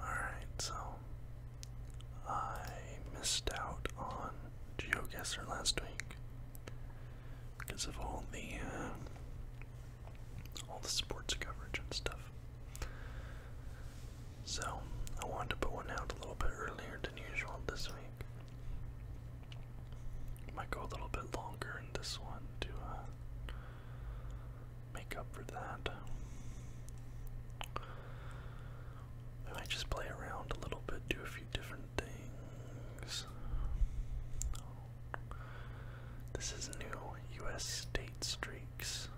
Alright, so I missed out on GeoGuessr last week because of all the uh, all the sports coverage and stuff. So I wanted to put one out a little bit earlier than usual this week. Might go a little bit longer in this one to uh, make up for that. We might just play around a little bit, do a few different things. This is new US state streaks.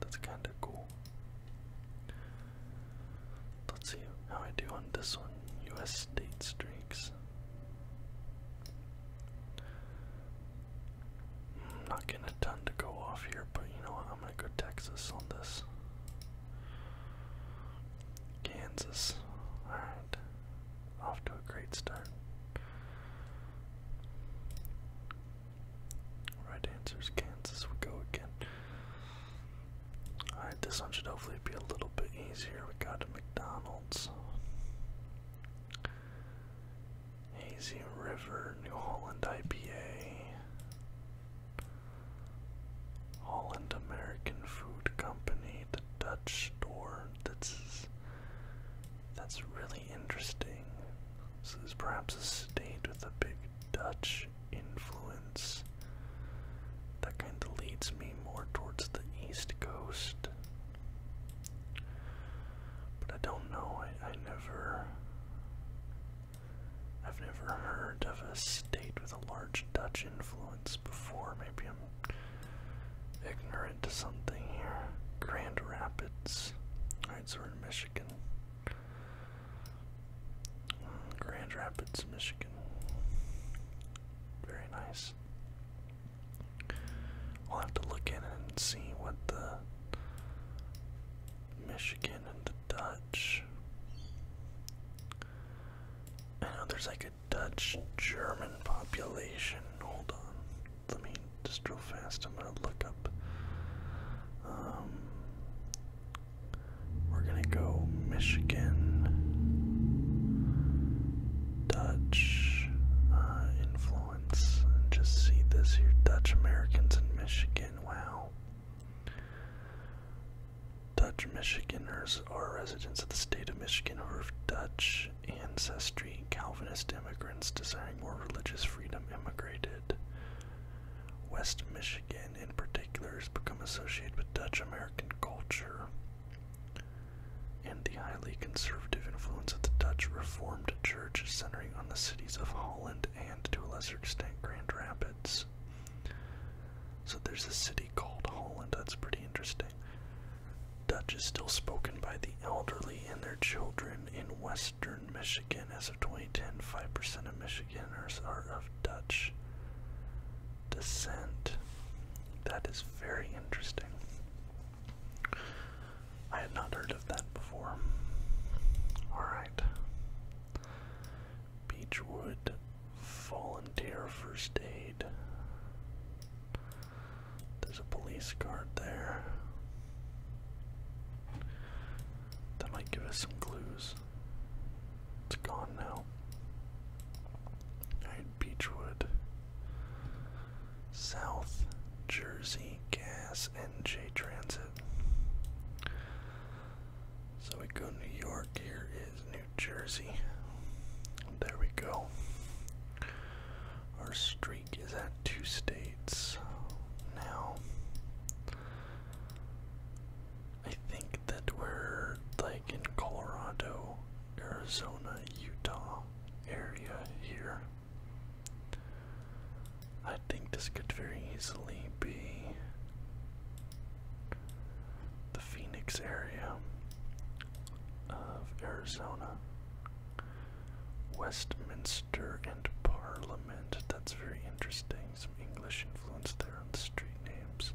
That's kinda cool. Let's see how I do on this one. US state streaks. I'm not getting a ton to go off here, but you know what? I'm gonna go Texas on this. Kansas. Alright. Off to a great start. Right answer Kansas. We go again. Alright, this one should hopefully be a little bit easier. We got to McDonald's. Hazy River, New Holland IPA, Holland American Food Company, the Dutch store. That's that's really interesting. So this is perhaps a state with a big Dutch influence. That kind of leads me more towards the East Coast. But I don't know, I, I never I've never heard of a state with a large Dutch influence before. Maybe I'm ignorant to something here. Grand Rapids. Alright, so we're in Michigan. Hmm, Grand Rapids, Michigan. Very nice i will have to look in and see what the Michigan and the Dutch. I know there's like a Dutch German population. Hold on. Let me just real fast. I'm gonna look up. Um, we're gonna go Michigan, Dutch, uh, influence. And just see this here Dutch Americans in Michigan. Wow. Dutch Michiganers are residents of the state of Michigan who are of Dutch ancestry. Calvinist immigrants desiring more religious freedom immigrated. West Michigan, in particular, has become associated with Dutch American culture highly conservative influence of the Dutch Reformed Church centering on the cities of Holland and, to a lesser extent, Grand Rapids. So there's a city called Holland, that's pretty interesting. Dutch is still spoken by the elderly and their children in western Michigan. As of 2010, 5% of Michiganers are of Dutch descent. That is very interesting. I had not heard of that before. Alright. Beechwood volunteer first aid. There's a police guard there. That might give us some clues. It's gone now. Alright, Beechwood. South Jersey Gas NJ Transit. So we go New York, here is New Jersey. There we go. Our streak is at two states now. I think that we're like in Colorado, Arizona, Utah area here. I think this could very easily be the Phoenix area of Arizona. Westminster and Parliament. That's very interesting. Some English influence there on the street names.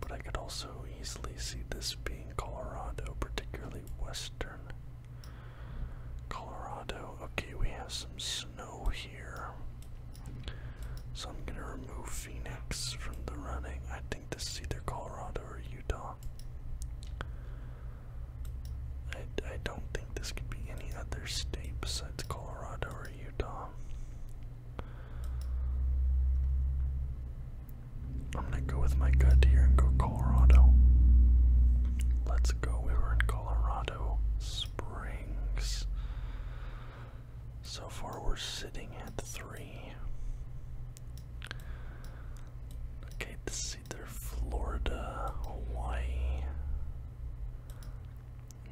But I could also easily see this being Colorado, particularly western Colorado. Okay, we have some snow here. So I'm gonna remove Phoenix from the running. I think this is either Colorado or Utah. I, I don't think this could be any other state besides Colorado or Utah. I'm gonna go with my gut here and go Colorado. Let's go. We were in Colorado Springs. So far, we're sitting at three. Okay, this is either Florida, Hawaii,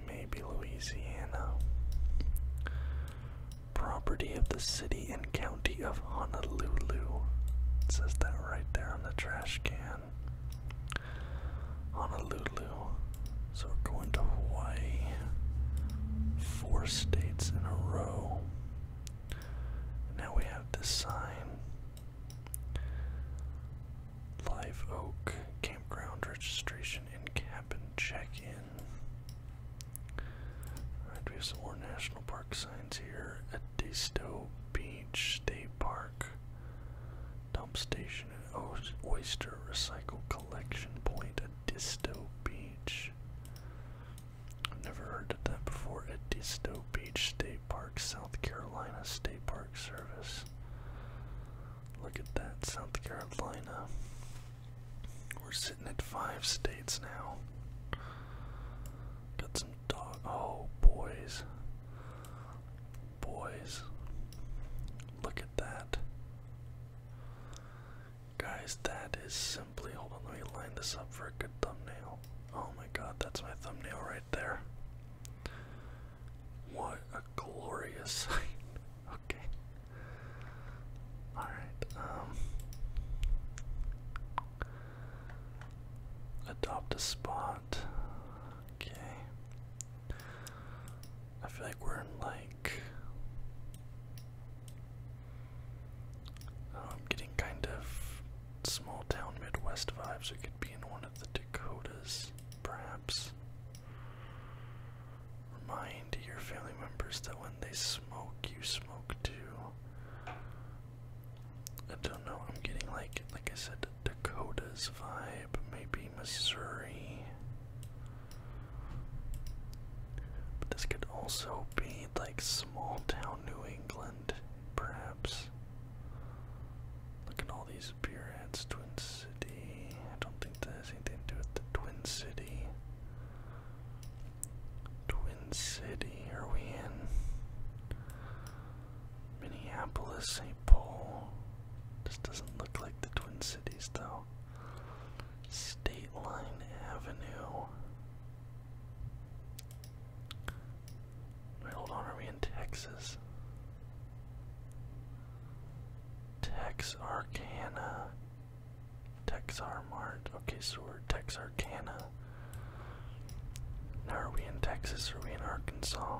maybe Louisiana. Property of the city and county of Honolulu. It says that right there on the trash can. Honolulu. So we're going to Hawaii. Four states in a row. Now we have this sign. Live Oak Campground Registration and Cabin Check-In. Alright, we have some more national park signs here at Disto Beach State Park. Dump station and oyster recycle collection point at Disto Beach. I've never heard of that before. At Disto Beach State Park, South Carolina State Park Service. Look at that, South Carolina. We're sitting at five states now. Got some dog. Oh, boys. Boys. Look at that. Guys, that is simply. Hold on, let me line this up for a good thumbnail. Oh my god, that's my thumbnail right there. What a glorious sight. okay. Alright, um. Adopt a spot. Okay. I feel like we're in like. I'm getting kind of small town Midwest vibes. We could be in one of the Dakotas, perhaps. Remind your family members that when they smoke, you smoke too. I don't know. I'm getting like, like I said, Dakota's vibe, maybe Missouri. But this could also be like small town New England, perhaps. Look at all these beer ads, Twin City. I don't think that has anything to do with the Twin City. Twin City, are we in? Minneapolis, St. Paul. This doesn't look like the Twin Cities though. State Line Avenue. Wait, hold on, are we in Texas? Texarkana. Texar Mart. Okay, so we're Texarkana. Now are we in Texas or are we in Arkansas?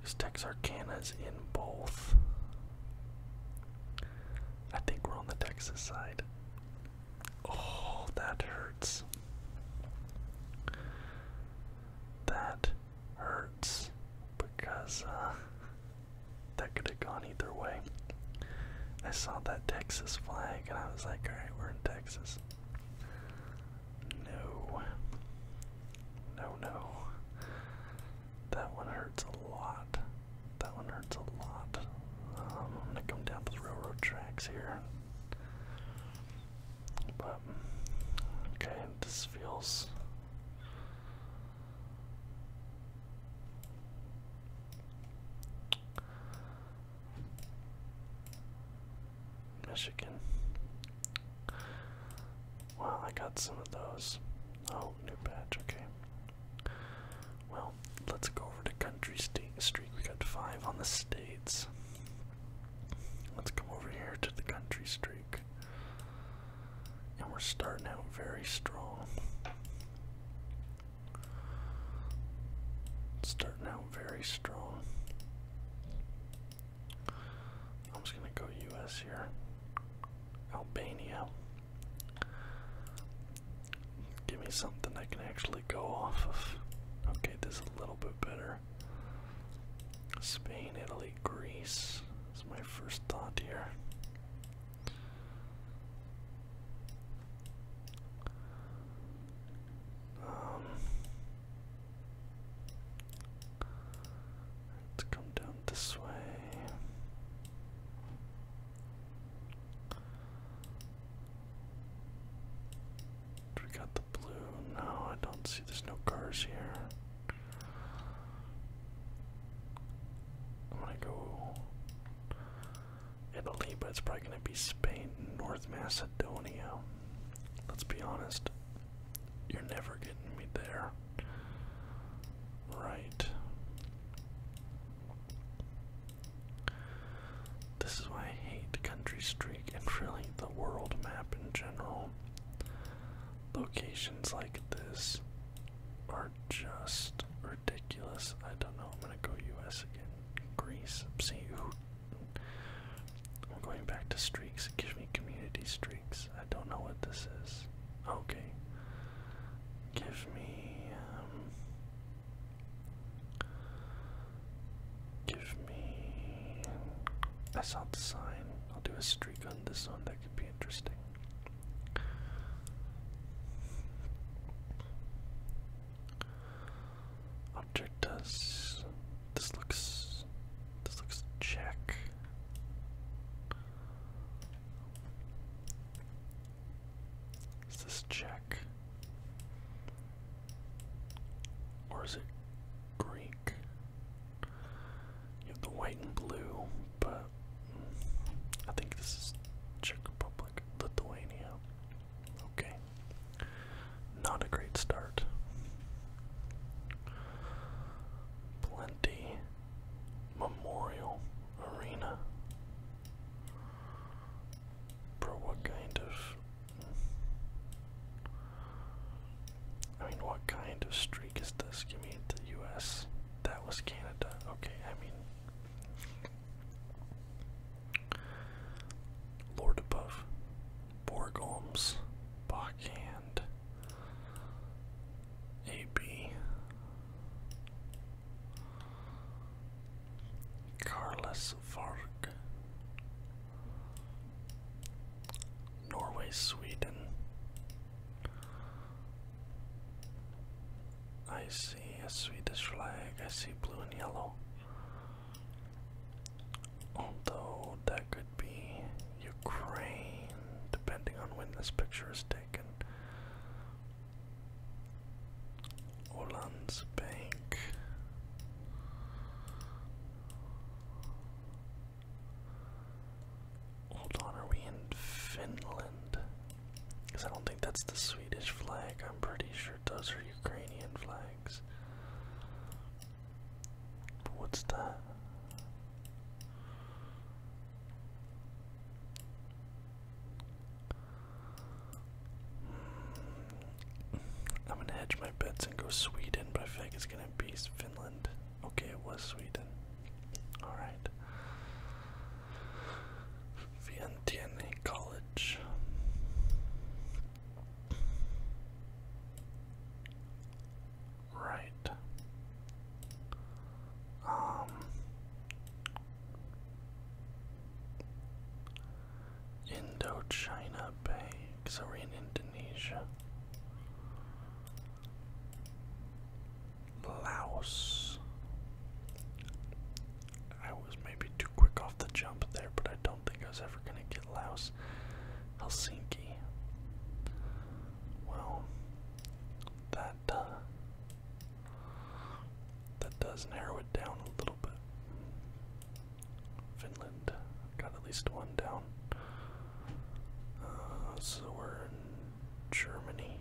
Because Texarkana is in both. I think we're on the Texas side. Oh, that hurts. That hurts because uh, that could have gone either way. I saw that Texas flag and I was like, alright, we're in Texas. No. No, no. That one hurts a lot. That one hurts a lot. Um, I'm gonna come down to the railroad tracks here. But, okay, this feels. Michigan. Well, I got some of those. Oh, new patch, okay. Well, let's go over to Country State Street. We got five on the states. Let's come over here to the Country Streak. And we're starting out very strong. Starting out very strong. I'm just gonna go US here. Albania. Give me something I can actually go off of. Okay, this is a little bit better. Spain, Italy, Greece is my first thought here. Um, let come down this way. we got the blue? No, I don't see. There's no cars here. I'm gonna go Italy, but it's probably going to be Spain, North Macedonia. Let's be honest, you're never getting me there. Right. This is why I hate Country Streak and really the world map in general. Locations like this are just ridiculous. I don't know, I'm gonna go US again. Greece. See who I'm going back to streaks. Give me community streaks. I don't know what this is. Okay. Give me um Give me I saw the sign. I'll do a streak on this one. That could be interesting. Object does This looks. This looks check. Is this check? Or is it Greek? You have the white and blue, but I think this is Czech Republic, Lithuania. Okay. Not a great start. Plenty Memorial Arena. Bro, what kind of. I mean, what kind of streak is this? Give me the US. That was Canada. Okay, I mean. Lord above, Borgholms, Backhand, AB, Carlos Varg, Norway, Sweden. Ice I see a Swedish flag. I see blue and yellow. Although that could be Ukraine, depending on when this picture is taken. Oland's Bank. Hold on, are we in Finland? Because I don't think that's the Swedish flag, I'm pretty sure sure those are Ukrainian flags. But what's that? Hmm. I'm gonna hedge my bets and go Sweden, but I feel it's gonna be Finland. Okay, it was Sweden. Alright. Vientiane College. Right. Um Indochina Bay, So we're in Indonesia. Laos. I was maybe too quick off the jump there, but I don't think I was ever going to get Laos Helsinki. Well, that uh, that does narrow it down a little bit. Finland got at least one down. Uh, so we're in Germany.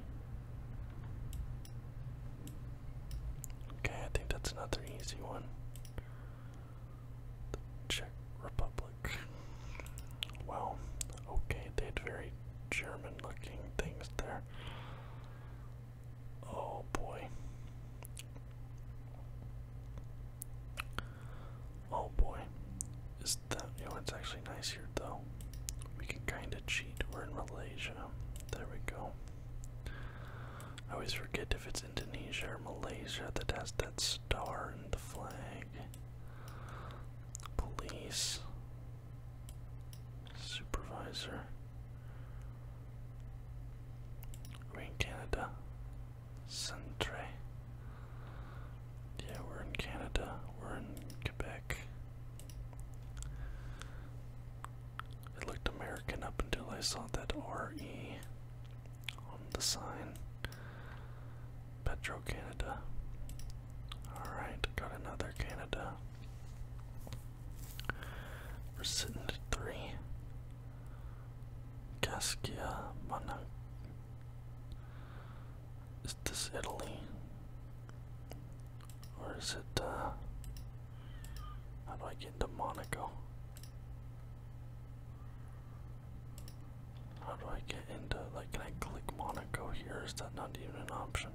Okay, I think that's another easy one. The Czech Republic. Well, okay, they had very German looking things there. Oh boy. Oh boy. Is that you know it's actually nice here though? We can kinda cheat. We're in Malaysia. There we go. I always forget if it's Indonesia or Malaysia that has that star in the flag. Police. Supervisor. We're in Canada. Centre. Yeah, we're in Canada. We're in Quebec. It looked American up until I saw that RE on the sign. Petro Canada. Alright, got another Canada. We're sitting at three. Gaskia Mana. Is this Italy? Or is it, uh, how do I get into Monaco? How do I get into, like, can I click Monaco here? Is that not even an option?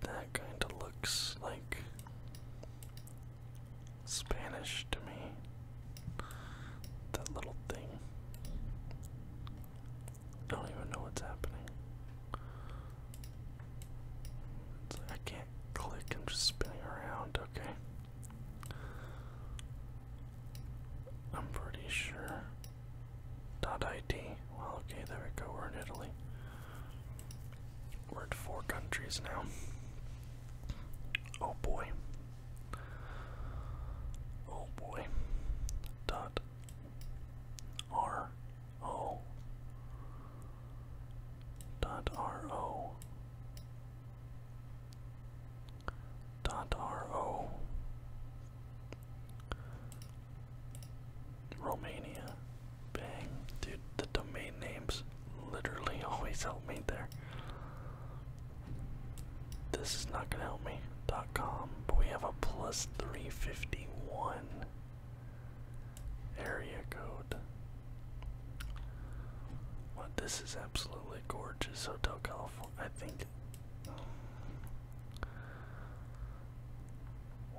that kinda looks like Spanish to me. That little thing. I don't even know what's happening. I can't click, I'm just spinning around, okay. I'm pretty sure. Dot ID. Well, okay, there we go, we're in Italy. We're at four countries now. Oh boy. Oh boy. Dot R O dot R O dot R O Romania. Bang. Dude, the domain names literally always help me there. This is not gonna help me. Dot com, but we have a plus 351. Area code. Well, this is absolutely gorgeous, Hotel California. I think.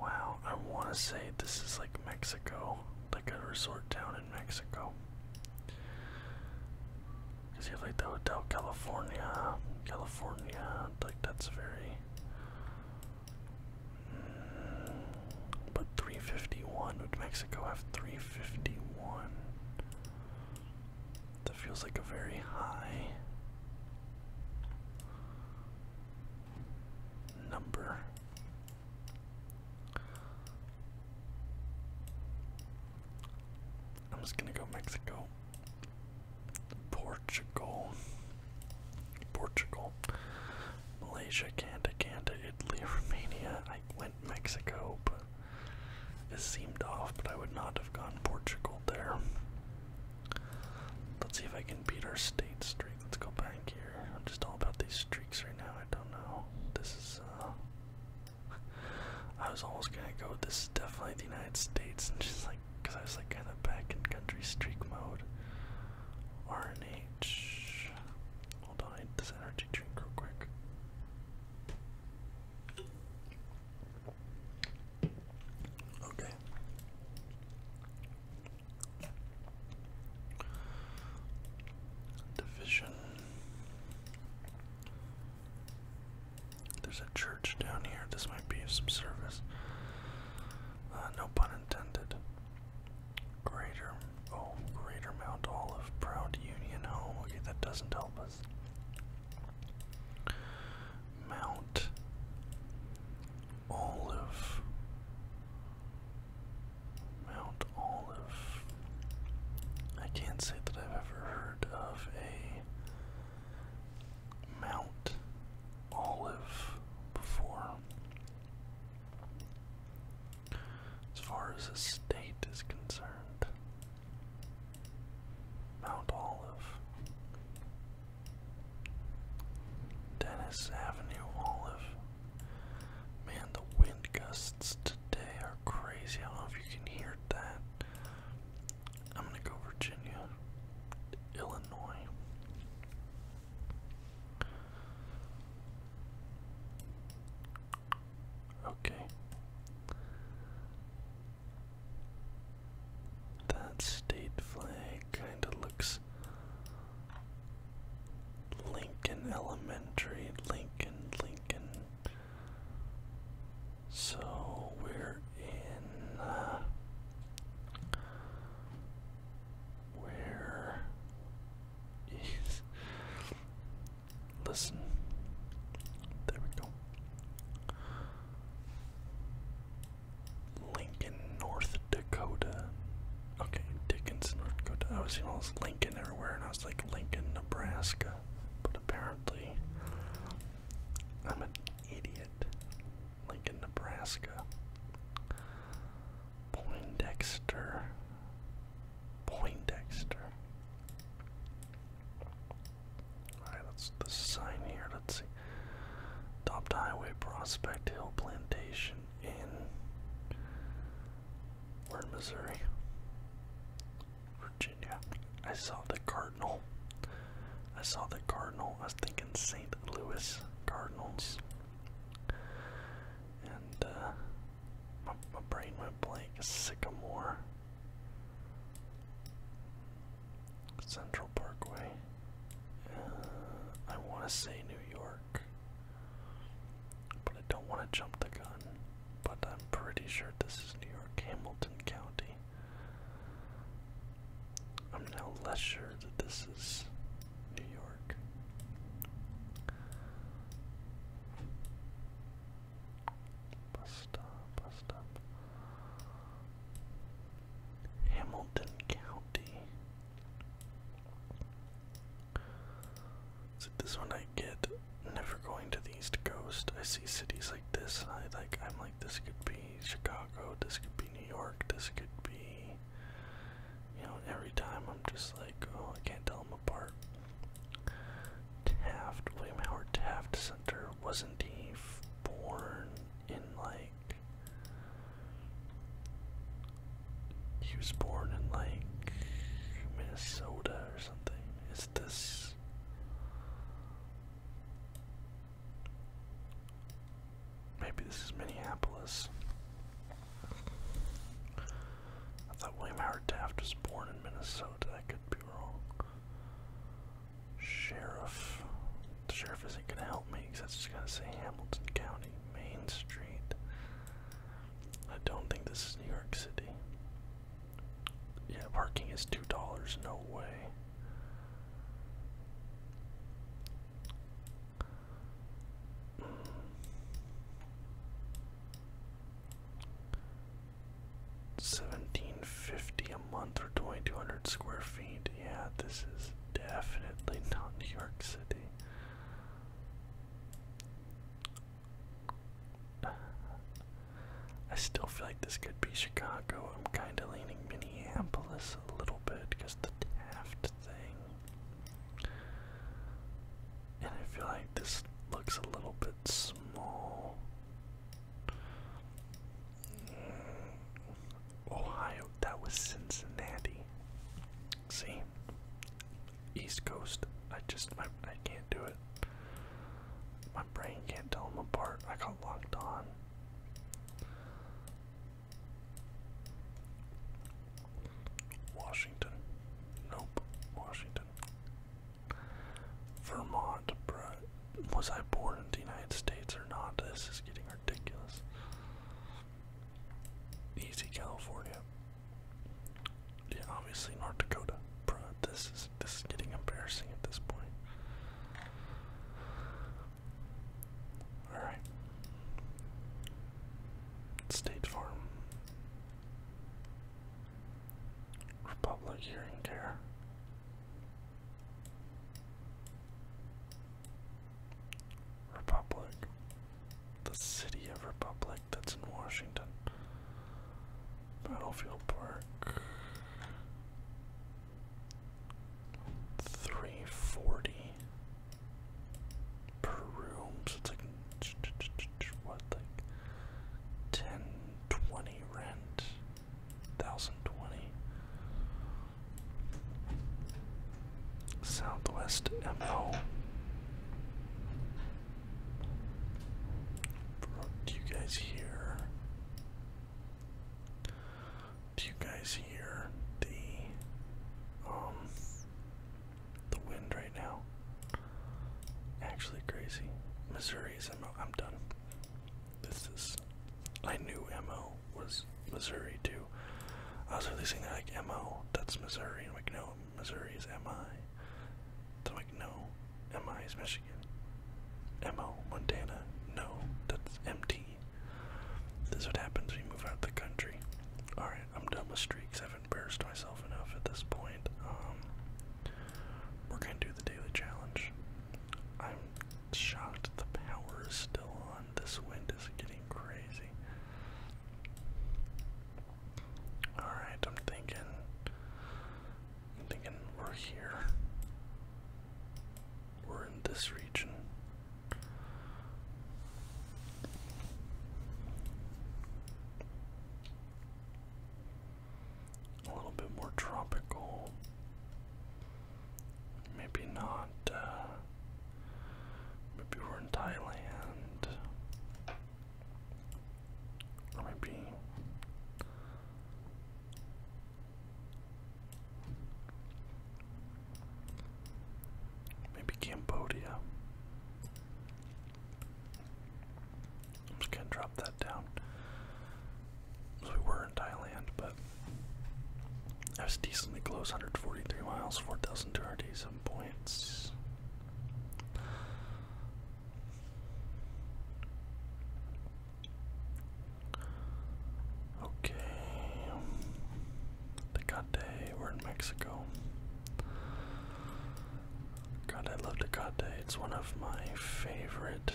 Wow, I want to say this is like Mexico, like a resort town in Mexico. Because you have like the Hotel California, California, like that's very but 351, would Mexico have 351? That feels like a very high number. I'm just gonna go Mexico. Portugal, Portugal, Malaysia, Canada, Canada, Italy, Romania. I went Mexico, but it seemed off. But I would not have gone Portugal there. Let's see if I can beat our state streak. Let's go back here. I'm just all about these streaks right now. I don't know. This is. uh... I was almost gonna go. with This definitely the United States, and just like because I was like kind of back in country streak mode. RNH. Hold on, I need this energy drink real quick. Okay. Division. There's a church down here. This might be of some service. Uh, no pun intended. Greater, oh, Greater Mount Olive, Proud Union Home. Okay, that doesn't help us. Mount Olive. Mount Olive. I can't say that I've ever heard of a Mount Olive before. As far as the state is concerned, Mount Olive, Dennis Avenue Olive. Man, the wind gusts today are crazy. I don't know if you can hear that. I'm gonna go Virginia, Illinois. Okay. That state flag kind of looks Lincoln Elementary, Lincoln, Lincoln. So we're in. Uh, where is. Listen. There we go. Lincoln, North Dakota. Okay, Dickens, North Dakota. I was seeing all this Lincoln everywhere, and I was like, Lincoln, Nebraska. But apparently, I'm an idiot. Lincoln, Nebraska. Poindexter. Poindexter. Alright, that's the sign here. Let's see. Adopt Highway Prospect Hill Plantation in We're in Missouri. Virginia. I saw the Cardinal. I saw the Cardinal thinking St. Louis Cardinals. And uh, my, brain went blank. Sycamore. Central Parkway. Uh, I want to say New York. But I don't want to jump the gun. But I'm pretty sure this is New York, Hamilton County. I'm now less sure that this is New York. Bus stop, bus stop. Hamilton County. So this one I get never going to the East Coast. I see cities like this I like I'm like this could be Chicago, this could be New York, this could be you know, every time I'm just like, oh, I can't tell them apart. Taft, William Howard Taft Center, wasn't he born in like. He was born in like Minnesota or something. Is this. Maybe this is Minneapolis. I thought William Howard Taft was born in Minnesota. I could be wrong. Sheriff. The sheriff isn't going to help me because that's just going to say Hamilton County, Main Street. I don't think this is New York City. Yeah, parking is $2. No way. Seventeen fifty a month or twenty two hundred square feet. Yeah, this is definitely not New York City. I still feel like this could be Chicago. I'm kind of leaning Minneapolis a little bit because the Taft thing. And I feel like this looks a little bit small. Ohio, that was Cincinnati. See? East Coast. I just, my, I can't do it. My brain can't tell them apart. I got locked on. Washington. Nope. Washington. Vermont, Was I born in the United States or not? This is getting ridiculous. Easy California. Yeah, obviously North Dakota. Bruh, this is this is getting embarrassing at this point. Alright. State Farm. Republic Hearing Care. Republic. The city of Republic that's in Washington. Battlefield Park three forty per room, so it's like ten twenty rent, thousand twenty. Southwest MO. Do you guys hear? Do you guys hear the um the wind right now? Actually crazy. Missouri is I'm done. This is I knew MO was Missouri too. I was releasing that like MO, that's Missouri, and we am like no, Missouri is MI. So i like no, MI is Michigan. MO Montana, no, that's MT. This is what happens when you move out of the country. Alright, I'm done with streaks. I've embarrassed myself enough at this point. Um, we're gonna do the daily challenge. I'm shocked the power is still on. This wind is getting crazy. Alright, I'm thinking. I'm thinking we're here. We're in this region. A little bit more tropical. Maybe not. Uh, maybe we're in Thailand. maybe. Maybe Cambodia. i just gonna drop that down. we were in Thailand, but I was decently close, 143 miles, 4,287 points. Okay. Tecate, we're in Mexico. God, I love Tecate. It's one of my favorite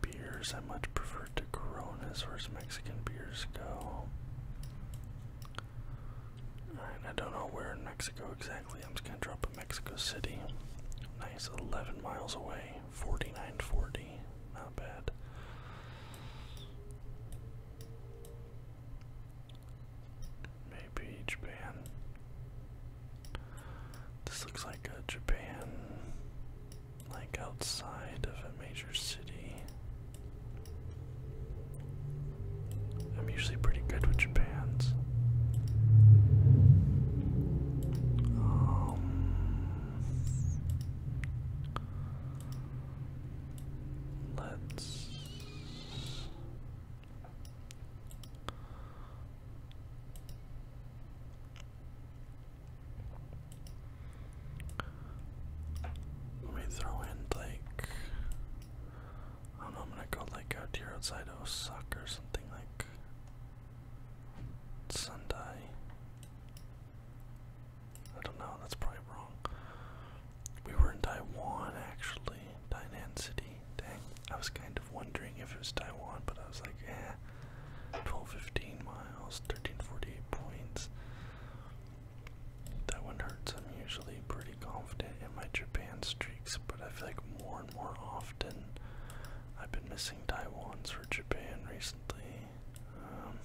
beers. I much prefer to Corona as far as Mexican beers go. Alright, I don't know where in Mexico exactly. I'm just gonna drop a Mexico City. Nice, 11 miles away, 49.40, not bad. Maybe Japan. This looks like a Japan, like outside of a major city. I'm usually pretty good with Japan's. Um, Let's let me throw in like I don't know, I'm gonna go like out here outside of Osaka or something like Sunday. I don't know, that's probably wrong. We were in Taiwan actually, Tainan City. Dang, I was kind of wondering if it was Taiwan, but I was like, eh. 1215 miles, 1348 points. That one hurts. I'm usually pretty confident in my Japan streaks, but I feel like more and more often I've been missing Taiwan's for Japan recently. Um,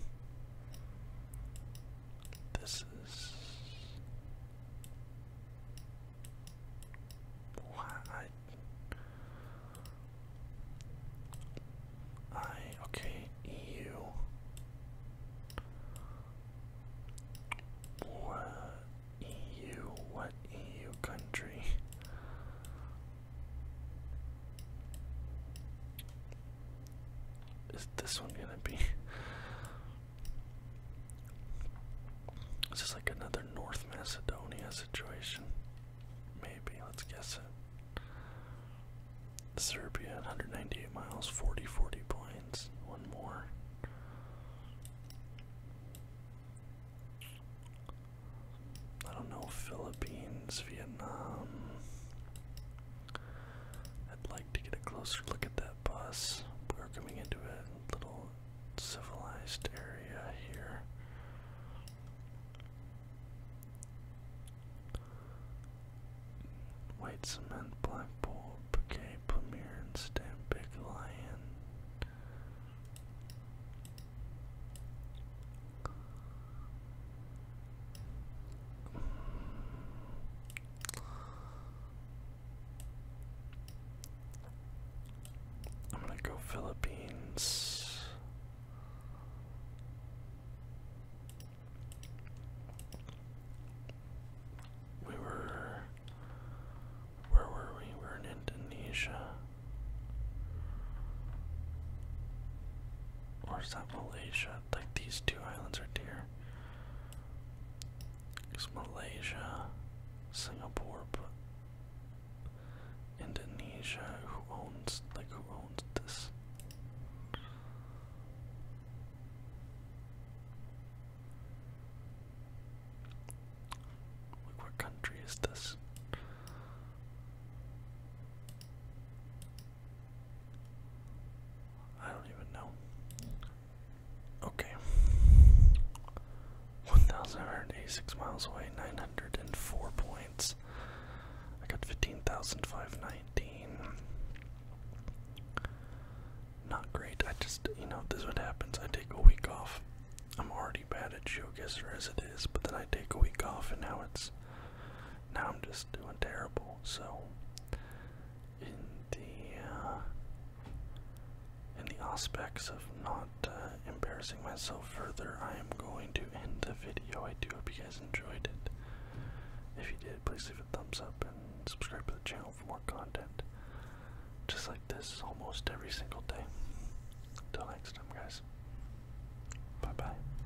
this is why I I okay EU what EU what EU country is this one gonna be? Is this like another North Macedonia situation? Maybe, let's guess it. Serbia, 198 miles, 40 40 points. One more. I don't know, Philippines, Vietnam. I'd like to get a closer look at that bus. We're coming into a little civilized area here. White cement, black bull, bouquet, Pamir, big lion. I'm gonna go Philippines. We were. Where were we? We were in Indonesia. Or is that Malaysia? Like these two islands are dear. There's Malaysia, Singapore, but Indonesia. Who owns like who owns this? Like what country is this? I don't even know. Okay. 1,186 miles away, 904 points. I got 15,519. Not great. I just, you know, this is what happens. I take a week off. I'm already bad at geoguesser as it is, but then I take a week off and now it's now I'm just doing terrible. So in the uh, in the aspects of not uh, embarrassing myself further, I am going to end the video. I do hope you guys enjoyed it. If you did, please leave a thumbs up and subscribe to the channel for more content just like this almost every single day. Until next time, guys. Bye bye.